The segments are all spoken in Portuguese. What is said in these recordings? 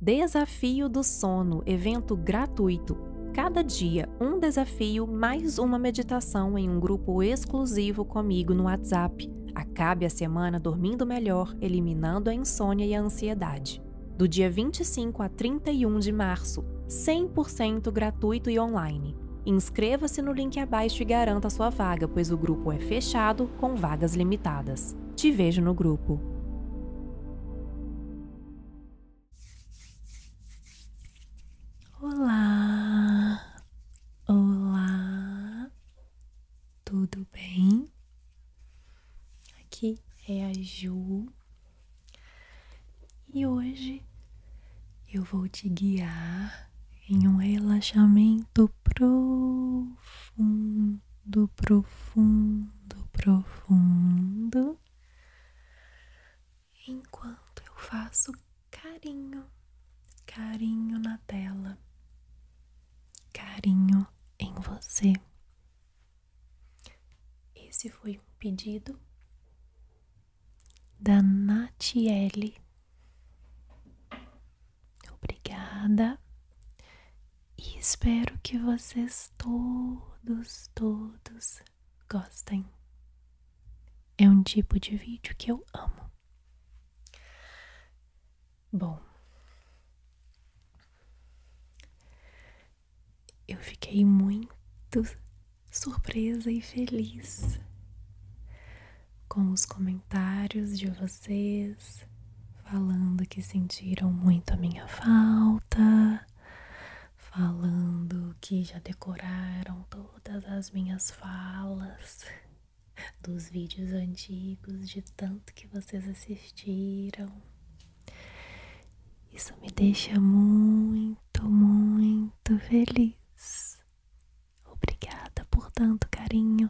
Desafio do Sono, evento gratuito. Cada dia, um desafio mais uma meditação em um grupo exclusivo comigo no WhatsApp. Acabe a semana dormindo melhor, eliminando a insônia e a ansiedade. Do dia 25 a 31 de março, 100% gratuito e online. Inscreva-se no link abaixo e garanta sua vaga, pois o grupo é fechado com vagas limitadas. Te vejo no grupo. Olá, olá, tudo bem? Aqui é a Ju e hoje eu vou te guiar em um relaxamento profundo profundo, profundo, profundo, enquanto eu faço carinho, carinho na tela, carinho em você. Esse foi um pedido da Natiele. Obrigada e espero que vocês todos, todos gostem. É um tipo de vídeo que eu amo. Bom, eu fiquei muito surpresa e feliz com os comentários de vocês falando que sentiram muito a minha falta, falando que já decoraram todas as minhas falas dos vídeos antigos, de tanto que vocês assistiram. Isso me deixa muito, muito feliz. Obrigada por tanto carinho.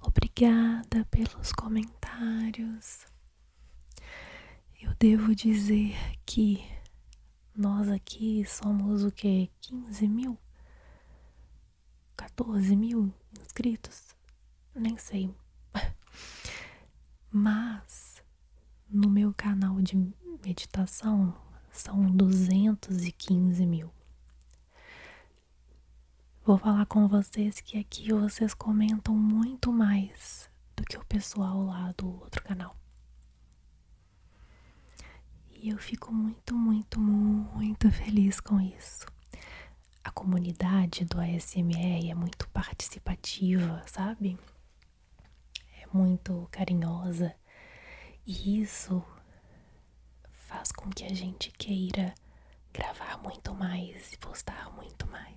Obrigada pelos comentários. Eu devo dizer que nós aqui somos o que? 15 mil? 14 mil inscritos? Nem sei. Mas no meu canal de meditação são 215 mil. Vou falar com vocês que aqui vocês comentam muito mais do que o pessoal lá do outro canal. E eu fico muito, muito, muito feliz com isso. A comunidade do ASMR é muito participativa, sabe? É muito carinhosa. E isso faz com que a gente queira gravar muito mais e postar muito mais.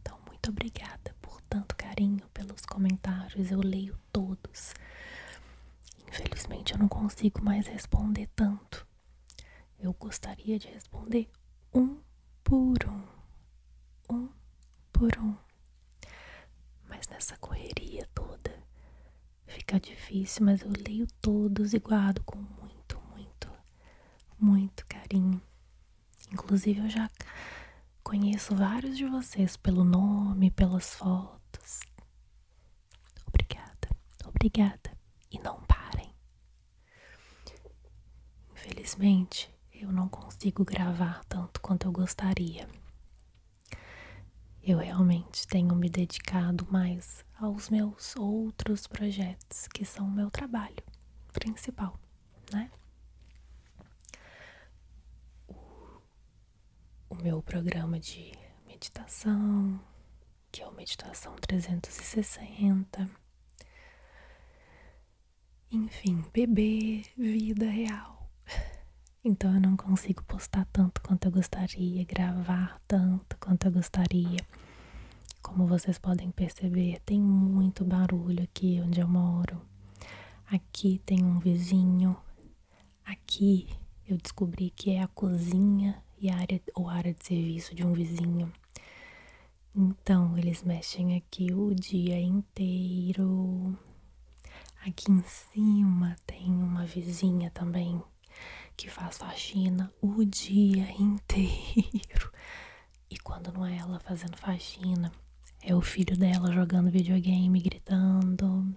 Então, muito obrigada por tanto carinho, pelos comentários, eu leio todos. Infelizmente, eu não consigo mais responder tanto. Eu gostaria de responder um por um, um por um. Mas nessa correria toda fica difícil, mas eu leio todos e guardo com muito, muito muito carinho. Inclusive, eu já conheço vários de vocês pelo nome, pelas fotos. Obrigada, obrigada. E não parem. Infelizmente, eu não consigo gravar tanto quanto eu gostaria. Eu realmente tenho me dedicado mais aos meus outros projetos, que são o meu trabalho principal, né? O, meu programa de meditação, que é o Meditação 360. Enfim, bebê, vida real. Então eu não consigo postar tanto quanto eu gostaria, gravar tanto quanto eu gostaria. Como vocês podem perceber, tem muito barulho aqui onde eu moro. Aqui tem um vizinho. Aqui eu descobri que é a cozinha e área ou área de serviço de um vizinho. Então, eles mexem aqui o dia inteiro. Aqui em cima tem uma vizinha também que faz faxina o dia inteiro. E quando não é ela fazendo faxina, é o filho dela jogando videogame, gritando.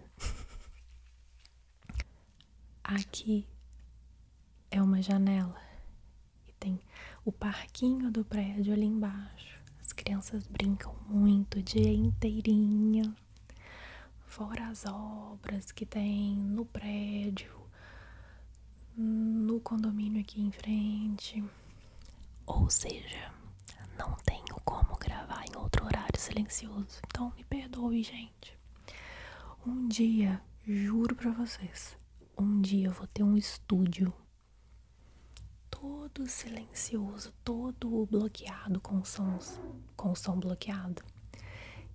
Aqui é uma janela e tem o parquinho do prédio ali embaixo. As crianças brincam muito o dia inteirinho. Fora as obras que tem no prédio, no condomínio aqui em frente. Ou seja, não tenho como gravar em outro horário silencioso. Então me perdoe, gente. Um dia, juro pra vocês, um dia eu vou ter um estúdio todo silencioso, todo bloqueado com sons, com som bloqueado.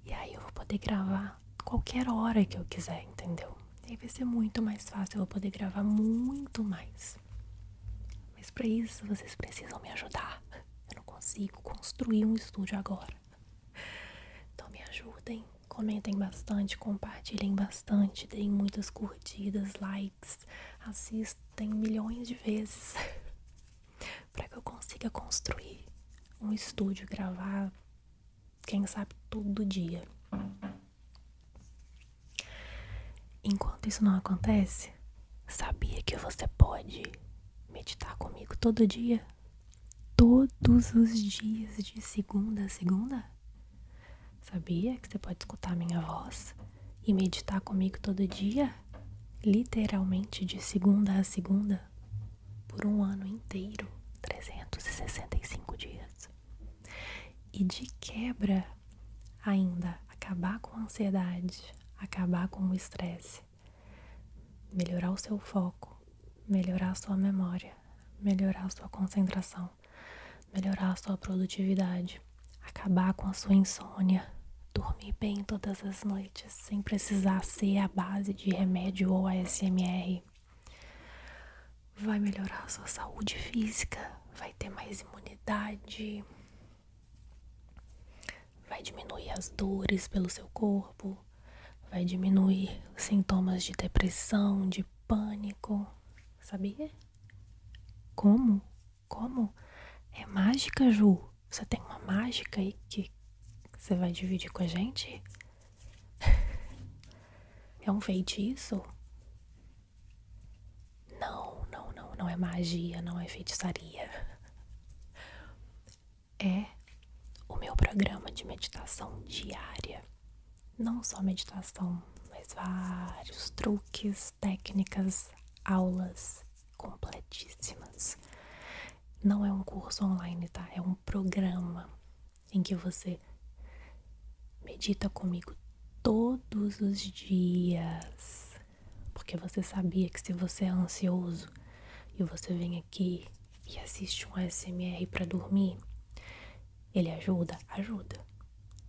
E aí eu vou poder gravar qualquer hora que eu quiser, entendeu? E aí vai ser muito mais fácil, eu vou poder gravar muito mais. Mas para isso vocês precisam me ajudar. Eu não consigo construir um estúdio agora. Então me ajudem, comentem bastante, compartilhem bastante, deem muitas curtidas, likes, assistem milhões de vezes para que eu consiga construir um estúdio, gravar quem sabe todo dia. Enquanto isso não acontece, sabia que você pode meditar comigo todo dia? Todos os dias, de segunda a segunda? Sabia que você pode escutar minha voz e meditar comigo todo dia? Literalmente de segunda a segunda? por um ano inteiro, 365 dias. E de quebra, ainda acabar com a ansiedade, acabar com o estresse, melhorar o seu foco, melhorar a sua memória, melhorar a sua concentração, melhorar a sua produtividade, acabar com a sua insônia, dormir bem todas as noites, sem precisar ser a base de remédio ou ASMR vai melhorar a sua saúde física, vai ter mais imunidade, vai diminuir as dores pelo seu corpo, vai diminuir sintomas de depressão, de pânico. Sabia? Como? Como? É mágica, Ju. Você tem uma mágica aí que você vai dividir com a gente? É um feitiço? Não, não, não, não é magia, não é feitiçaria. É o meu programa de meditação diária. Não só meditação, mas vários truques, técnicas, aulas completíssimas. Não é um curso online, tá? É um programa em que você medita comigo todos os dias, porque você sabia que se você é ansioso e você vem aqui e assiste um ASMR para dormir, ele ajuda? Ajuda.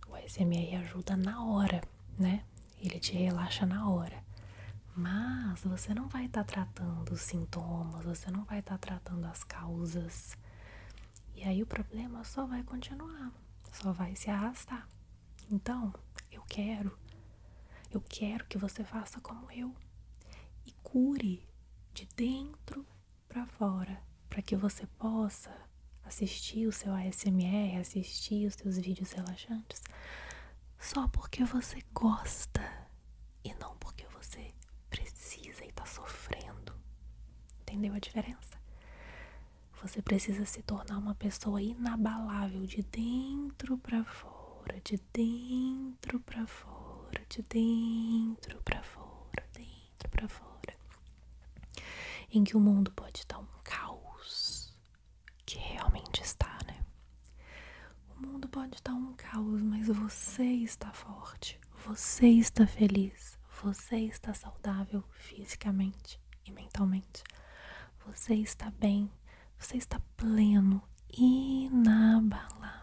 O ASMR ajuda na hora, né? Ele te relaxa na hora. Mas você não vai estar tá tratando os sintomas, você não vai estar tá tratando as causas, e aí o problema só vai continuar, só vai se arrastar. Então, eu quero, eu quero que você faça como eu e cure de dentro para fora, para que você possa assistir o seu ASMR, assistir os seus vídeos relaxantes, só porque você gosta e não porque você precisa e tá sofrendo. Entendeu a diferença? Você precisa se tornar uma pessoa inabalável de dentro para fora, de dentro para fora, de dentro para fora, dentro para fora. Em que o mundo pode estar um caos, que realmente está, né? O mundo pode estar um caos, mas você está forte. Você está feliz, você está saudável fisicamente e mentalmente. Você está bem, você está pleno, inabalável.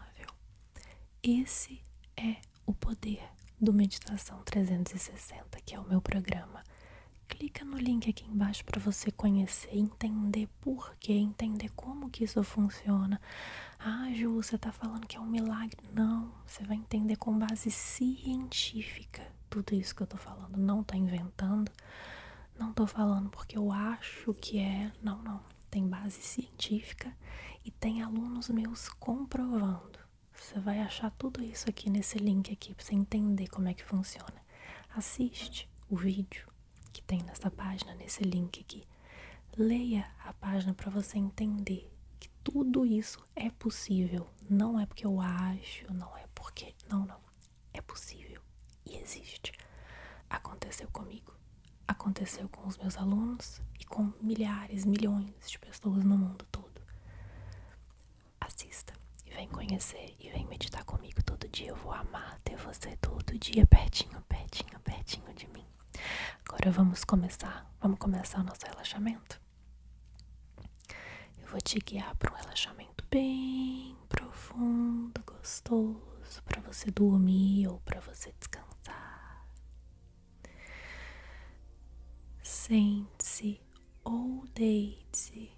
Esse é o poder do Meditação 360, que é o meu programa. Clica no link aqui embaixo para você conhecer, entender por que, entender como que isso funciona, ah, Ju, você está falando que é um milagre. Não, você vai entender com base científica tudo isso que eu estou falando. Não tá inventando, não estou falando porque eu acho que é. Não, não. Tem base científica e tem alunos meus comprovando. Você vai achar tudo isso aqui nesse link aqui para você entender como é que funciona. Assiste o vídeo que tem nessa página, nesse link aqui. Leia a página para você entender que tudo isso é possível. Não é porque eu acho, não é porque. Não, não. É possível e existe. Aconteceu comigo, aconteceu com os meus alunos e com milhares, milhões de pessoas no mundo todo. Assista e vem conhecer e vem meditar comigo todo dia. Eu vou amar ter você todo dia pertinho, pertinho, pertinho de mim. Agora vamos começar. Vamos começar o nosso relaxamento. Eu vou te guiar para um relaxamento bem profundo, gostoso, para você dormir ou para você descansar. Sente-se ou deite-se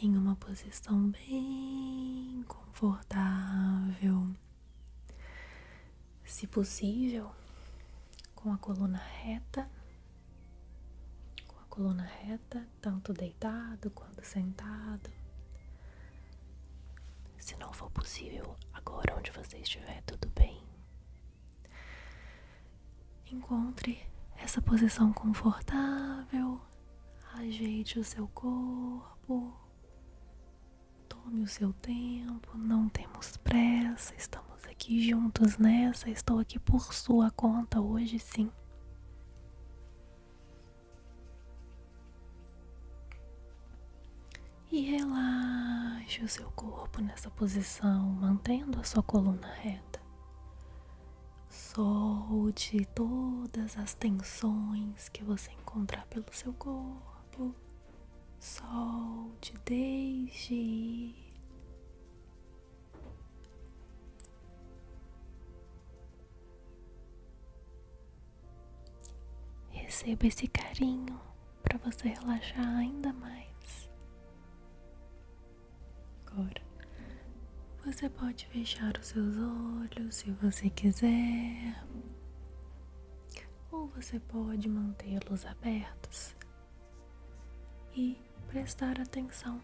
em uma posição bem confortável se possível, com a coluna reta, com a coluna reta, tanto deitado quanto sentado. Se não for possível, agora onde você estiver, tudo bem. Encontre essa posição confortável, ajeite o seu corpo, Tome o seu tempo, não temos pressa, estamos aqui juntos nessa, estou aqui por sua conta hoje sim. E relaxe o seu corpo nessa posição, mantendo a sua coluna reta. Solte todas as tensões que você encontrar pelo seu corpo solte, deixe Receba esse carinho para você relaxar ainda mais. Agora, você pode fechar os seus olhos se você quiser ou você pode mantê-los abertos e prestar atenção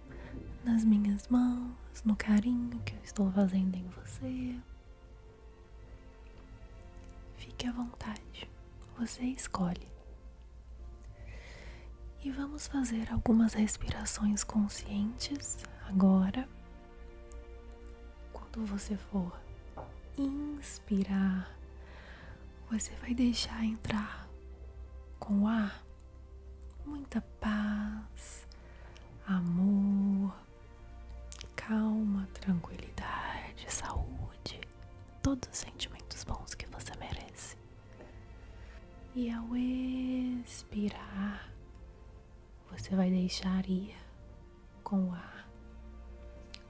nas minhas mãos, no carinho que eu estou fazendo em você. Fique à vontade, você escolhe. E vamos fazer algumas respirações conscientes agora. Quando você for inspirar, você vai deixar entrar com o ar muita paz, amor, calma, tranquilidade, saúde, todos os sentimentos bons que você merece. E ao expirar, você vai deixar ir com o ar.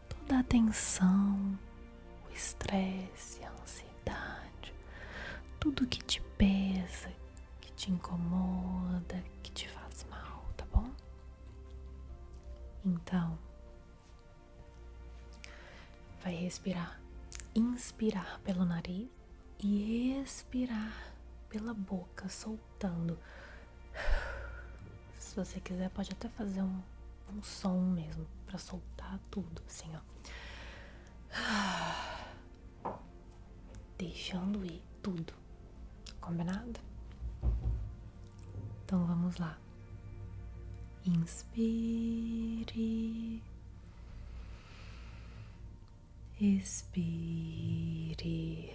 Toda a tensão, o estresse, a ansiedade, tudo que te pesa, que te incomoda, que te faz mal, tá bom? Então, vai respirar, inspirar pelo nariz e expirar pela boca, soltando se você quiser, pode até fazer um, som mesmo para soltar tudo, assim, ó. Deixando ir tudo. Combinado? Então vamos lá. Inspire. Expire.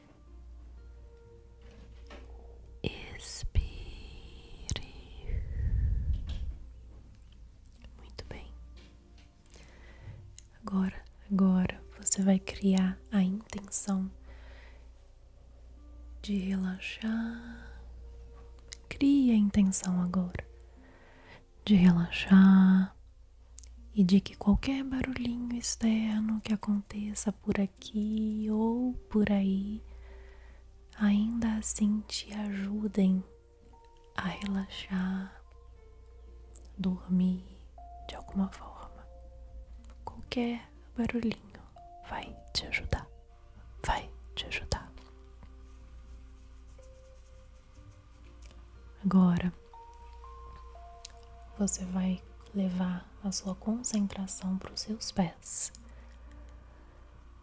Expire. Muito bem. Agora, agora você vai criar a intenção de relaxar. Crie a intenção agora de relaxar e de que qualquer barulhinho externo que aconteça por por aqui ou por aí, ainda assim te ajudem a relaxar, dormir de alguma forma. Qualquer barulhinho vai te ajudar, vai te ajudar. Agora você vai levar a sua concentração para os seus pés.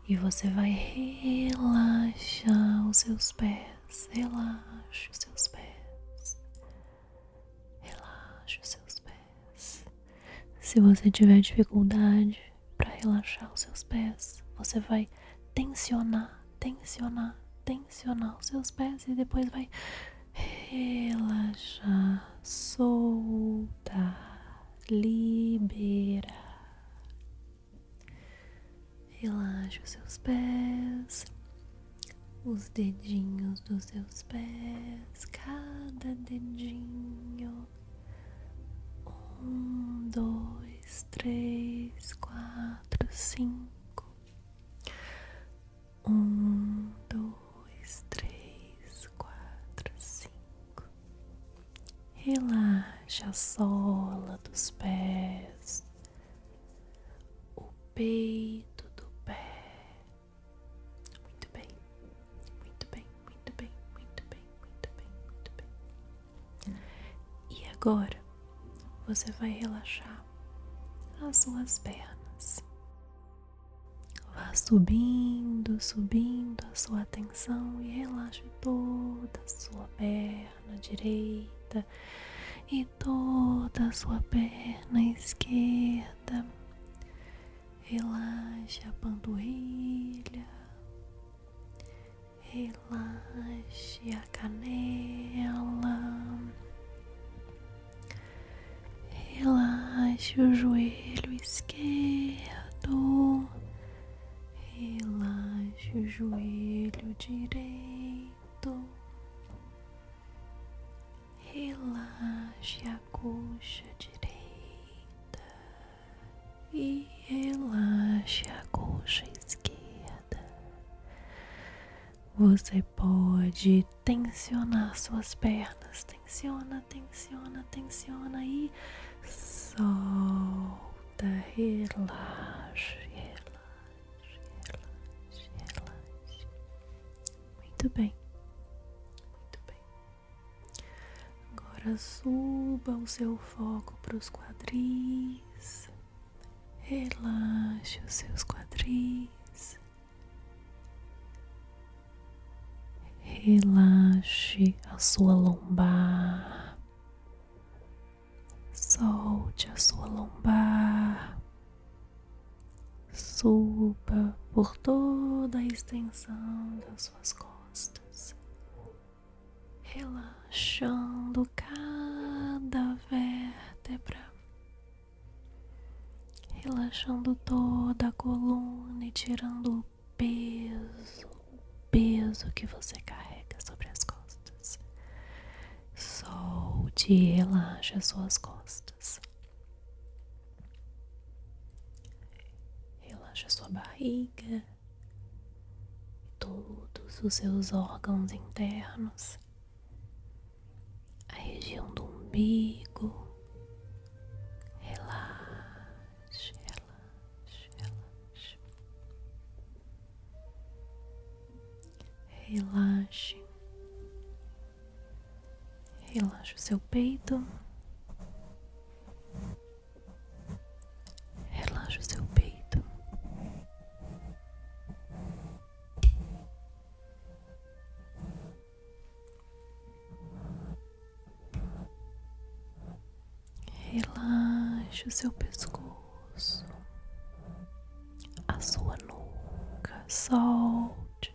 E você vai relaxar os seus pés, relaxe os seus pés, relaxe os seus pés. Se você tiver dificuldade para relaxar os seus pés, você vai tensionar, tensionar, tensionar os seus pés e depois vai relaxar, soltar, liberar. Relaxa os seus pés, os dedinhos dos seus pés, cada dedinho. Um, dois, três, quatro, cinco. Um, dois, três, quatro, cinco. Relaxa a sola dos pés, o peito do pé. Muito bem, muito bem, muito bem, muito bem, muito bem, muito bem. E agora você vai relaxar as suas pernas. Vá subindo, subindo a sua atenção e relaxe toda a sua perna direita e toda a sua perna esquerda. Relaxe a panturrilha, relaxe a canela, Relaxe o joelho esquerdo, relaxe o joelho direito, relaxe a coxa direita e relaxe a coxa esquerda. Você pode tensionar suas pernas tensiona, tensiona, tensiona e solta, relaxe, relaxe, relaxe, relaxe Muito bem, muito bem. Agora suba o seu foco para os quadris, relaxe os seus quadris. Relaxe a sua lombar, solte a sua lombar, suba por toda a extensão das suas costas, relaxando cada vértebra, relaxando toda a coluna e tirando o peso, o peso que você carrega sobre as costas. Solte e relaxe as suas costas. Relaxe sua barriga todos os seus órgãos internos. A região do umbigo, Relaxe, relaxe, relaxe. Relaxe. Relaxe o seu peito. relaxe o seu peito. Relaxe o seu pescoço, a sua nuca, solte,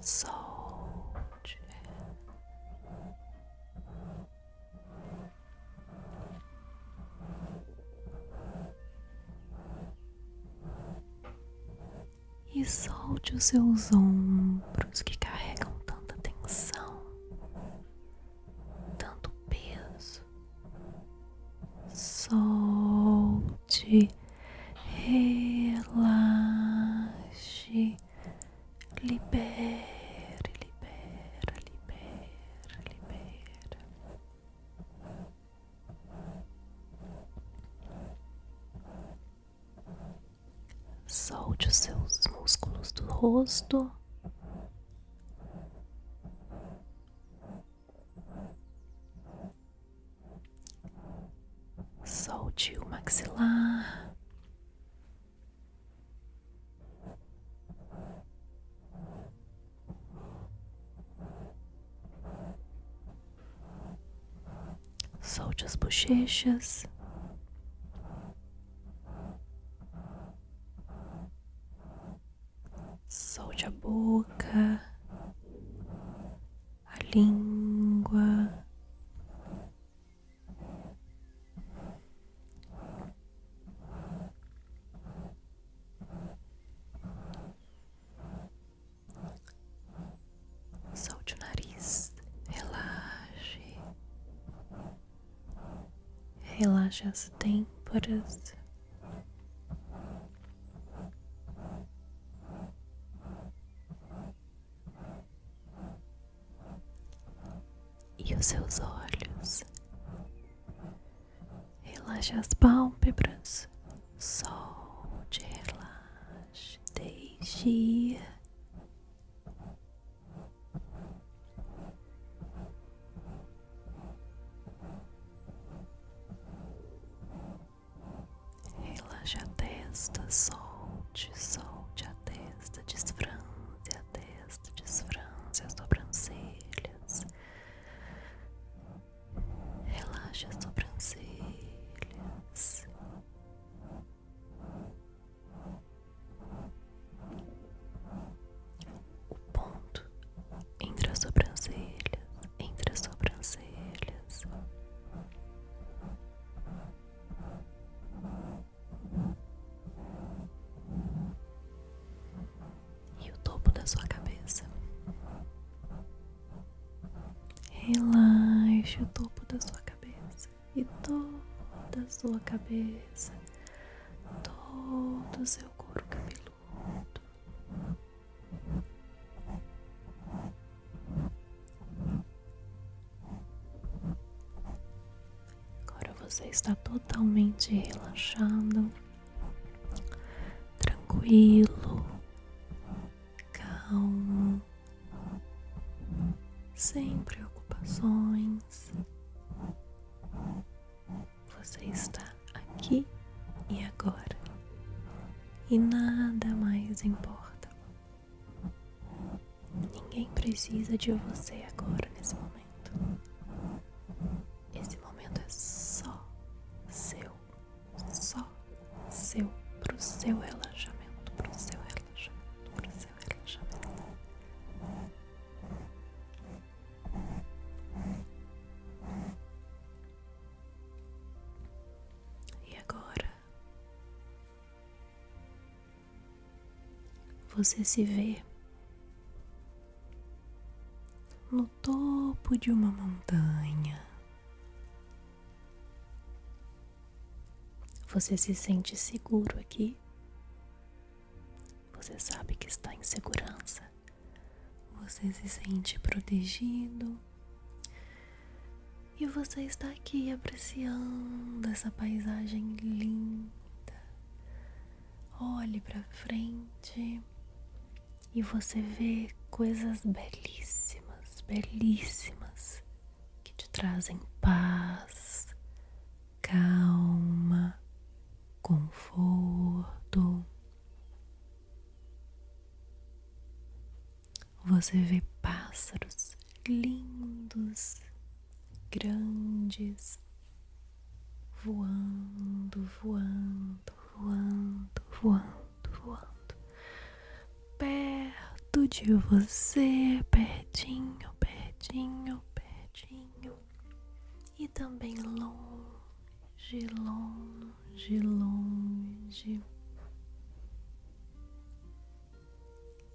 solte e solte os seus ombros que carregam tanta tensão, tanto peso. Solte, relaxe, libere, libera, libera, libera. Solte os seus músculos do rosto. Solte o maxilar. Solte as bochechas. Solte a boca, a língua. Solte o nariz, relaxe, relaxe as têmporas. E os seus olhos, relaxe as pálpebras, solte, relaxe relaxe, deixe ir. a testa, solte, solte a testa, desfranze a testa, desfranze as sobrancelhas. Relaxe as sobrancelhas. O ponto entre as sobrancelhas, entre as sobrancelhas. E o topo da sua cabeça. Relaxe o topo da sua cabeça e toda sua cabeça, todo o seu couro cabeludo. Agora você está totalmente relaxado, tranquilo, calmo sem preocupações. Você está aqui e agora, e nada mais importa. Ninguém precisa de você agora nesse momento. Esse momento é só seu, só seu, pro seu relaxamento, pro seu relaxamento relaxamento, E agora você se vê no topo de uma montanha você se sente seguro aqui? Você sabe que está em segurança? Você se sente protegido? E você está aqui apreciando essa paisagem linda. Olhe para frente e você vê coisas belíssimas, belíssimas que te trazem paz, calma, conforto. Você vê pássaros lindos, grandes, voando, voando, voando, voando, voando perto de você, pertinho, pertinho, pertinho, e também longe, longe, longe.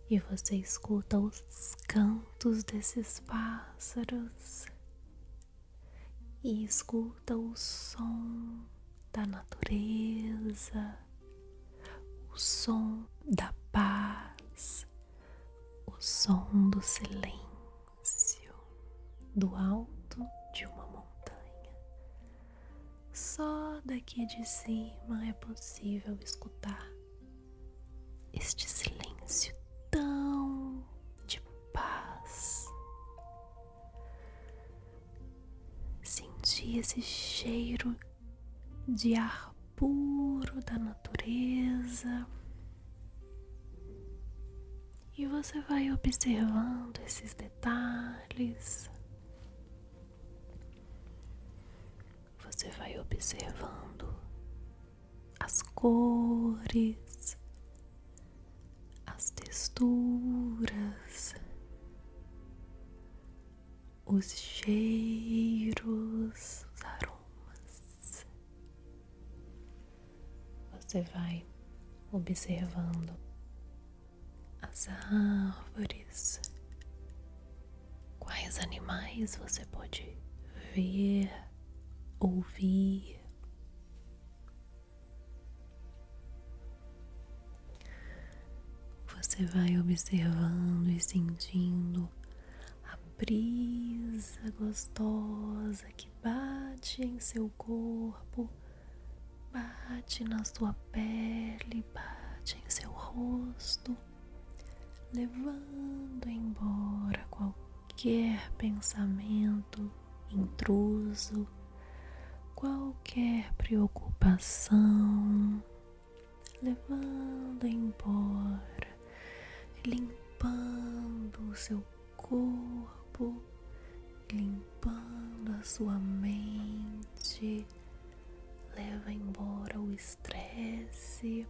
E você escuta os cantos desses pássaros e escuta o som da natureza o som da paz, o som do silêncio, do alto de uma montanha. Só daqui de cima é possível escutar este silêncio tão de paz. Sentir esse cheiro de ar puro da natureza. E você vai observando esses detalhes. Você vai observando as cores, as texturas, os cheiros, os aromas. Você vai observando as árvores, quais animais você pode ver, ouvir. Você vai observando e sentindo a brisa gostosa que bate em seu corpo, bate na sua pele, bate em seu rosto, levando embora qualquer pensamento intruso, qualquer preocupação, levando embora, limpando o seu corpo, limpando a sua mente, leva embora o estresse,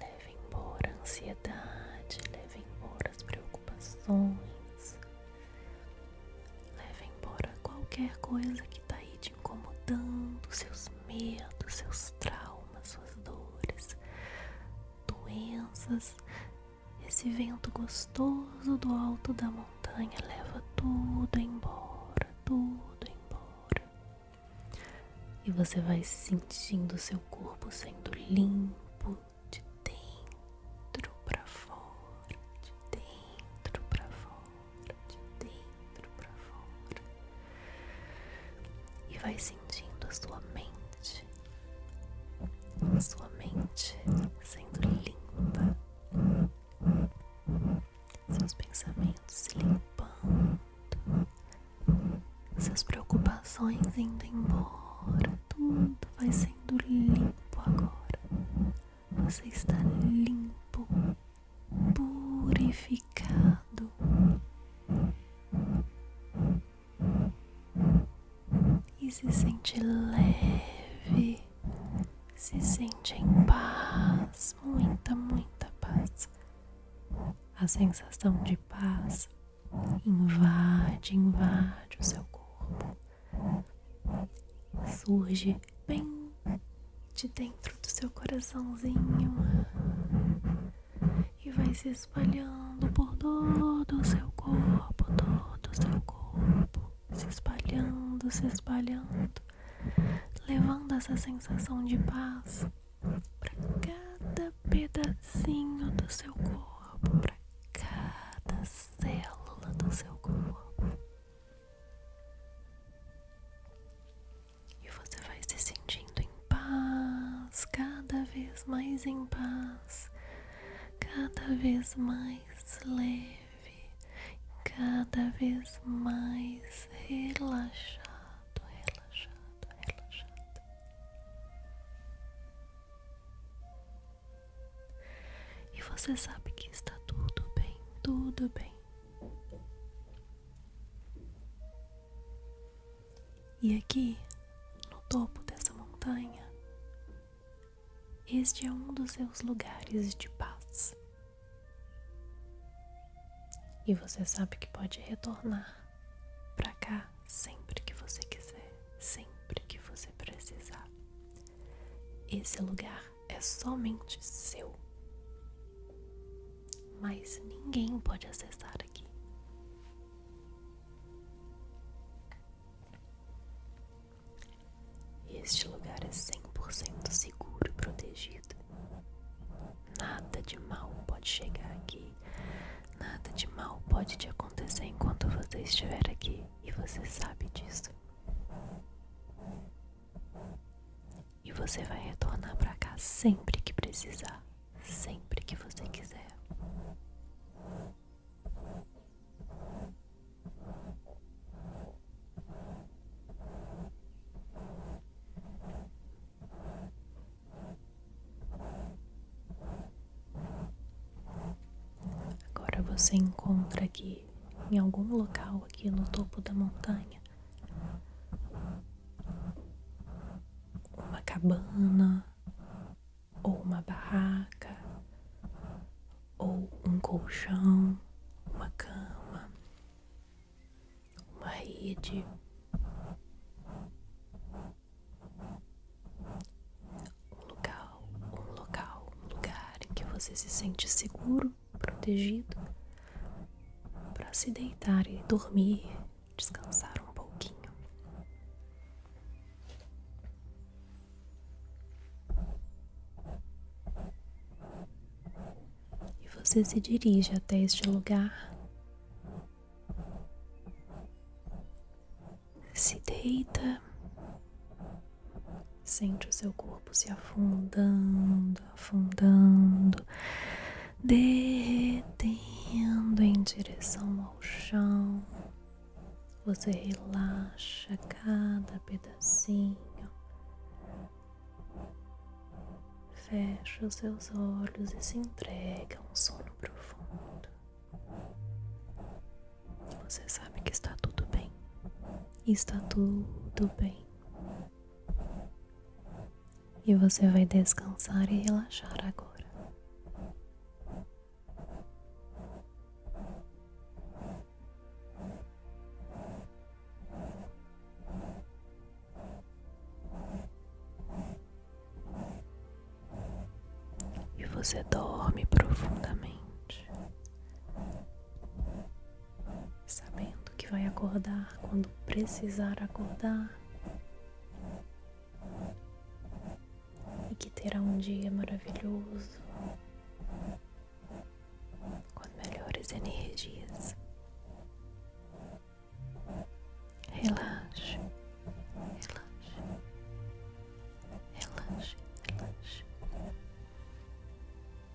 leva embora a ansiedade, leva embora as preocupações, leva embora qualquer coisa que está aí incomodando, seus medos, seus traumas, suas dores, doenças. Esse vento gostoso do alto da montanha leva tudo embora, tudo embora. E você vai sentindo seu corpo sendo limpo de dentro para fora, de dentro para fora de dentro para fora e vai sentindo a sua mente, a sua mente sendo limpa, seus pensamentos se limpando, suas preocupações indo embora, tudo vai sendo limpo agora. Você está limpo, purificado. E se sente leve, se sente em paz, muita, muita paz. A sensação de paz invade, invade o seu corpo. Surge bem de dentro do seu coraçãozinho e vai se espalhando por todo o seu corpo, todo o seu corpo, se espalhando, se espalhando, levando essa sensação de paz para cada pedacinho do seu corpo, para cada célula do seu corpo. E você vai se sentindo em paz, cada vez mais em paz, cada vez mais leve, cada vez mais relaxado, relaxado, relaxado. E você sabe que está tudo bem, tudo bem. E aqui, no topo dessa montanha, este é um dos seus lugares de paz. E você sabe que pode retornar para cá sempre que você quiser, sempre que você precisar. Esse lugar é somente seu. Mas ninguém pode acessar aqui. Este lugar é 100% seguro e protegido. Nada de mal pode chegar aqui. Nada de mal pode te acontecer enquanto você estiver aqui e você sabe disso. E você vai retornar para cá sempre que precisar, sempre que você quiser. Agora você encontra aqui em algum local aqui no topo da montanha uma cabana, ou uma barraca, ou um colchão, uma cama, uma rede, um local, um local, lugar em que você se sente seguro protegido, para se deitar e dormir, descansar um pouquinho. E você se dirige até este lugar. Se deita, sente o seu corpo se afundando afundando, derretendo em direção ao chão. Você relaxa cada pedacinho, fecha os seus olhos e se entrega a um sono profundo. Você sabe que está tudo bem, está tudo bem. E você vai descansar e relaxar agora. E você dorme profundamente sabendo que vai acordar quando precisar acordar e que terá um dia maravilhoso com melhores energias. Relaxe, relaxe, relaxe, relaxe.